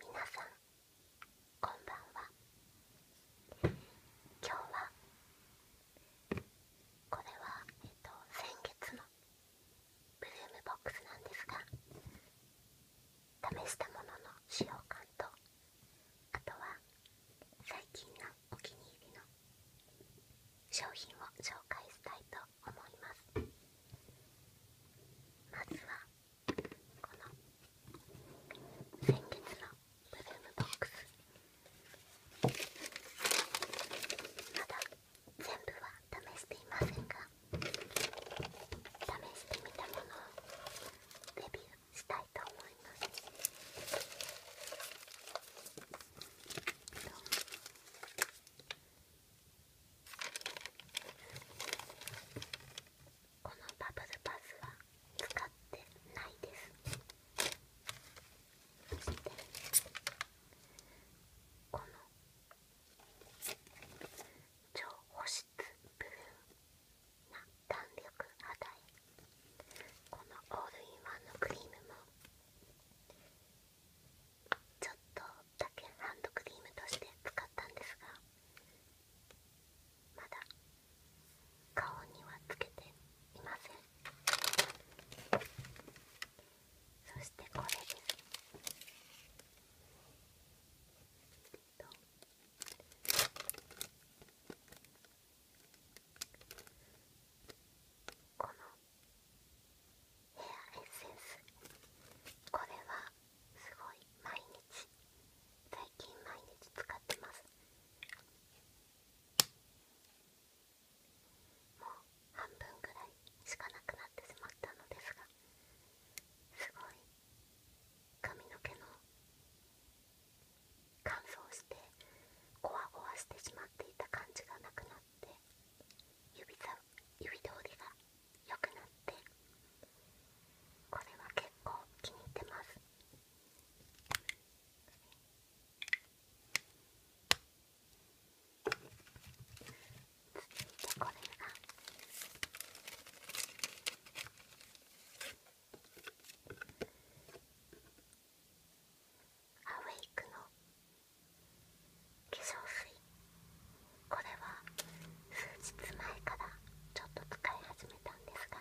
皆さんこんばんは今日はこれは、えっと、先月のブルームボックスなんですが試したものの使用感とあとは最近のお気に入りの商品を紹介したいと思いますまずはこの先月のブルームボックスまだ全部は試していませんが試してみたものをレビューしたいと思いますこのバブルパスは使ってないですそしてこの超保湿部分な弾力肌へこのオールインワンのクリームもちょっとだけハンドクリームとして使ったんですがまだ顔にはつけていませんそしてこれですとこのヘアエッセンスこれはすごい毎日最近毎日使ってますもう半分ぐらいしかなくなってしまったのですがすごい髪の毛の乾燥してゴワゴワしてしまっていた感じがなくなって指さ指通りが良くなってこれは結構気に入ってます続いてこれがアウェイクの化粧水これは数日前からちょっと使い始めたんですが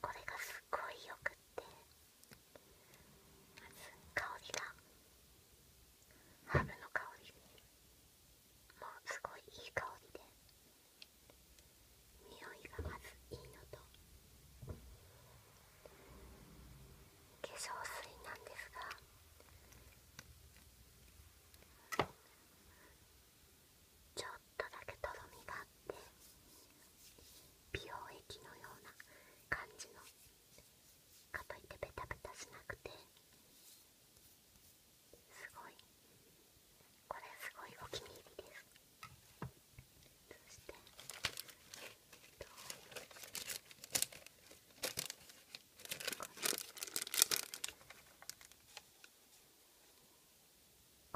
これがすっごいよくってまず香りがハムの香りもうすごいいい香りで匂いがまずいいのと化粧水なんですがちょっとだけとろみがあって美容液のような感じのかといってベタベタしなくてすごいこれすごいお気に入りですそして、えっと、こ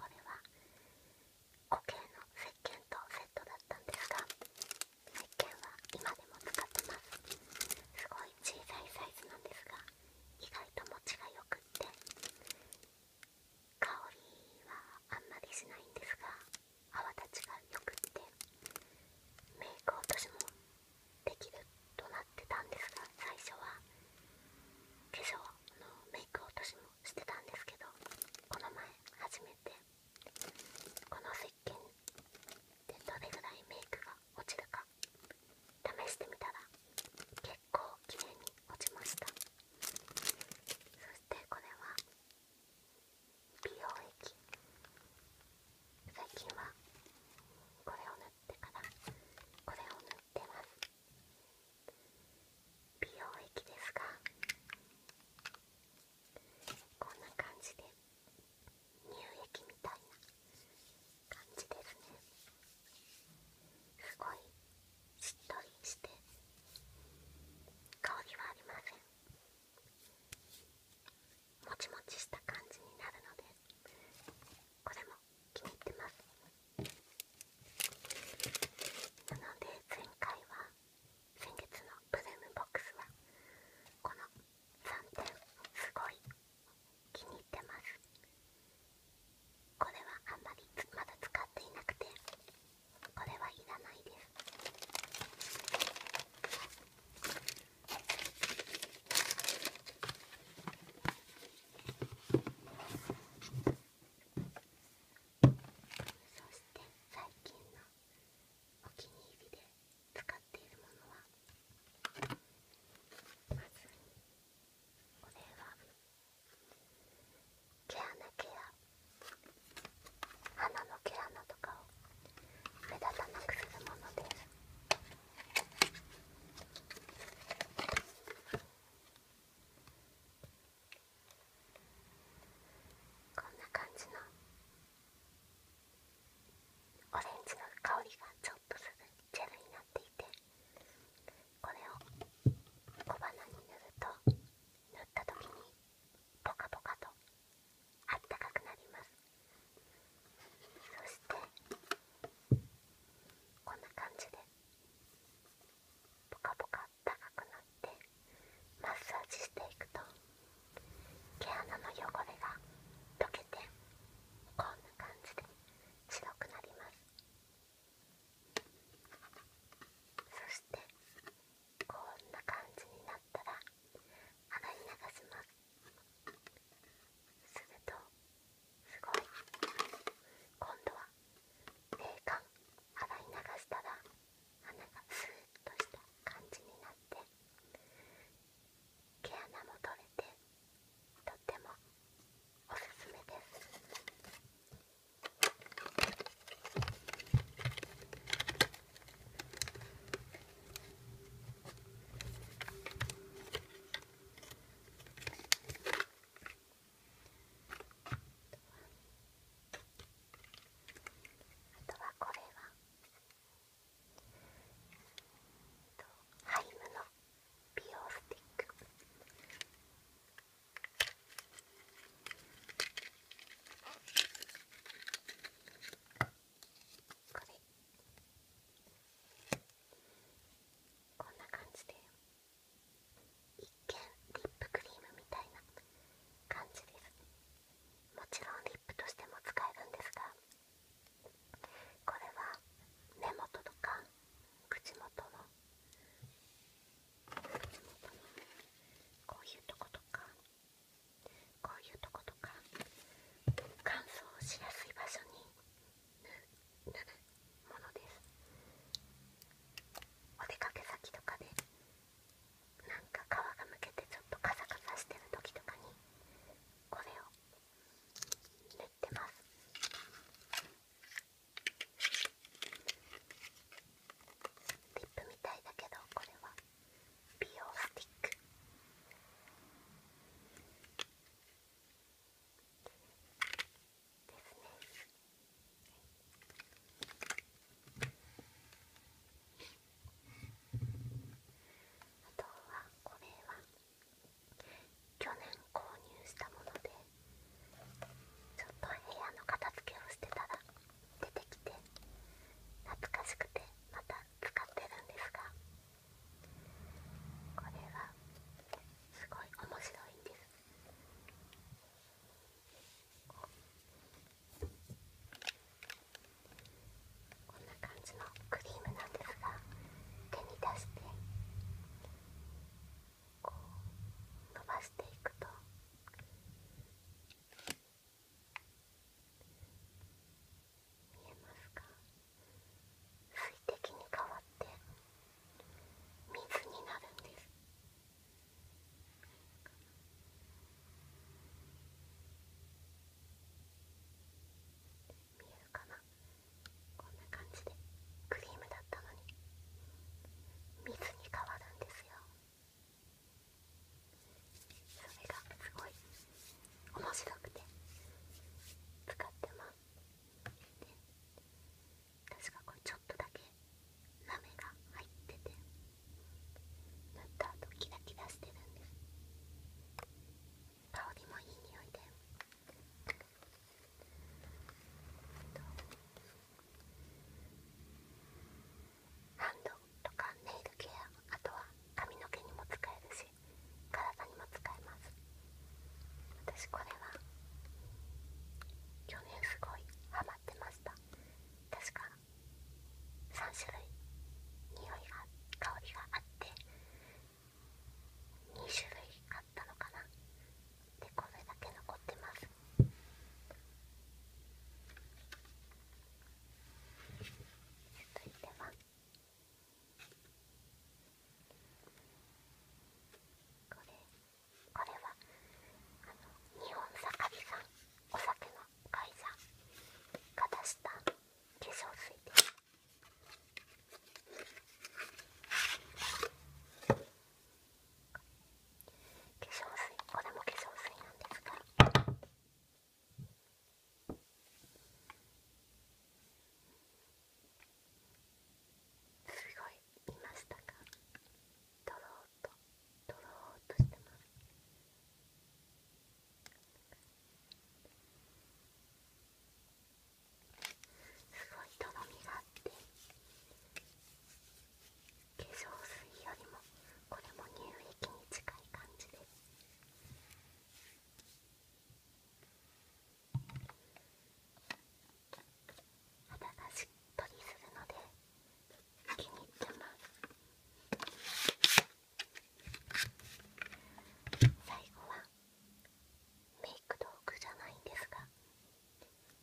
れは固形の石鹸とセットだったんですが石鹸は今でも使ってますすごい小さいサイズなんですが意外と持ちがよくって香りはあんまりしないんですが泡立ちがよくってメイク落としもできるとなってたんですが最初は化粧のメイク落としもしてたんですけどこの前初めてこの石鹸でどれぐらいメイクが落ちるか試してみたら結構綺麗に落ちましたそしてこれは美容液最近はこれを塗ってからこれを塗ってます美容液ですがこんな感じで乳液みたいな感じですねすごいしっとりして香りはありませんもちもちした感じになるのでこれも気に入ってますなので前回は先月のブルームボックスはこの3点すごい気に入ってますこれはあんまりまだ使っていなくてこれはいらないですそして最近のお気に入りで使っているものはまずこれは毛穴ケア鼻の毛穴とかを目立たなくするものですこんな感じのオレンジの香りがちょっとするジェルになっていてこれを小鼻に塗ると塗った時にポカポカとあったかくなりますそしてこんな感じでポカポカあったかくなってマッサージしていくと毛穴の汚れが溶けてこんな感じで白くなりますそしてこんな感じになったら洗い流しますするとすごい今度は冷感洗い流したら穴がスーッとした感じになって毛穴も取れてとってもおすすめですあとはこれはハイムの美容スティック。これこんな感じで一見リップクリームみたいな感じですもちろんリップとしても使えるんですがこれは根元とか口元の口元のこういうとことかこういうとことか乾燥しやすい場所に塗るものですお出かけ先とかでなんか皮がむけてちょっとカサカサしてる時とかにこれを塗ってますリップみたいだけどこれは美容スティックですねあとはこれは去年購入したものでちょっと部屋の片付けをしてたら出てきて懐かしくてまた使ってるんですがこれはすごい面白いんですこんな感じのクリームなんですが手に出してこう伸ばしていくと。見えますか水滴に変わって水になるんです見えるかなこんな感じでクリームだったのに水に変わるんですよそれがすごい面白くて使ってますで確かこれちょっとだけラが入ってて塗ったとキラキラしてるんで香りもいい匂いでハンドとかネイルケアあとは髪の毛にも使えるし体にも使えます私これは去年すごいハマってました確か3種類匂いが香りがあって2種類あったのかなでこれだけ残ってます続いてはこれこれはあの日本酒かびさんお酒の会社が出した化粧水です化粧水これも化粧水なんですがすごい見ましたかとろーととろーとしてますすごいとろみがあって化粧水よりもこれも乳液に近い感じです肌がしっとりするので気に入ってます最後はメイク道具じゃないんですが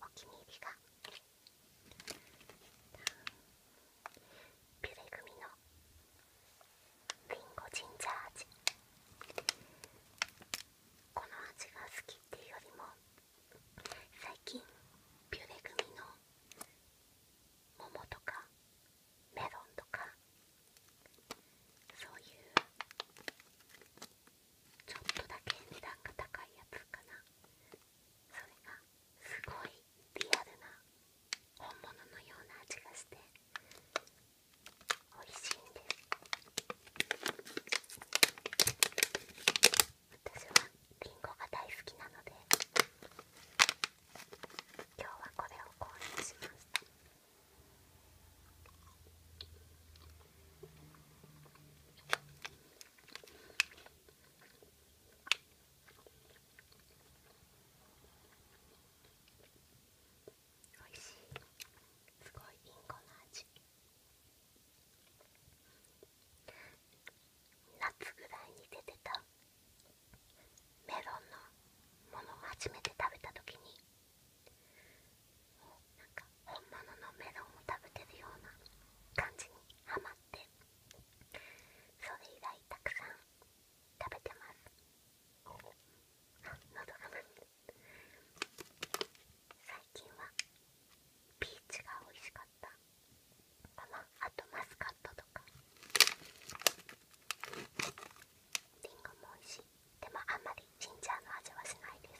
お気に入りがピュレグミのりんごジンジャー味この味が好きっていうよりも最近ピュレ組の桃とかメロンとかそういうちょっとだけ値段が高いやつかなそれがすごいリアルな本物のような味がして美味しいんです私はりんごが大好きなので今日はこれを購入しましたおいしいすごいインコの味夏ぐらいに出てたメロンのものを初めて食べた時になんか本物のメロンを食べてるような感じにはまってそれ以来たくさん食べてます喉が鳴って最近はビーチが美味しかったかなあとマスカットとかりんごも美味しいでもあんまりジンジャーの味はしないです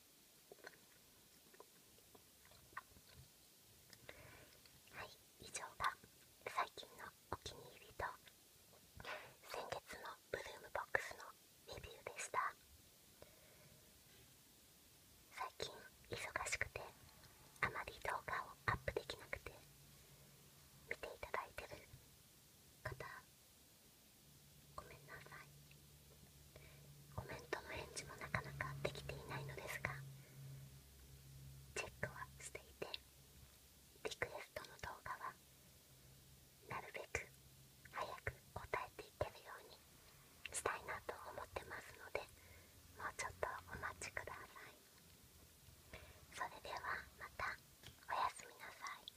はい以上が最近のお気に入りと先月のブルームボックスのレビューでした最近忙しくてあまり動画をアップできなくて見ていただいてる方ごめんなさいコメントの返事もなかなかできていないのですがチェックはしていてリクエストの動画はなるべく早く答えていけるようにしたいなと思ってますのでもうちょっとお待ちくださいそれではまたおやすみなさい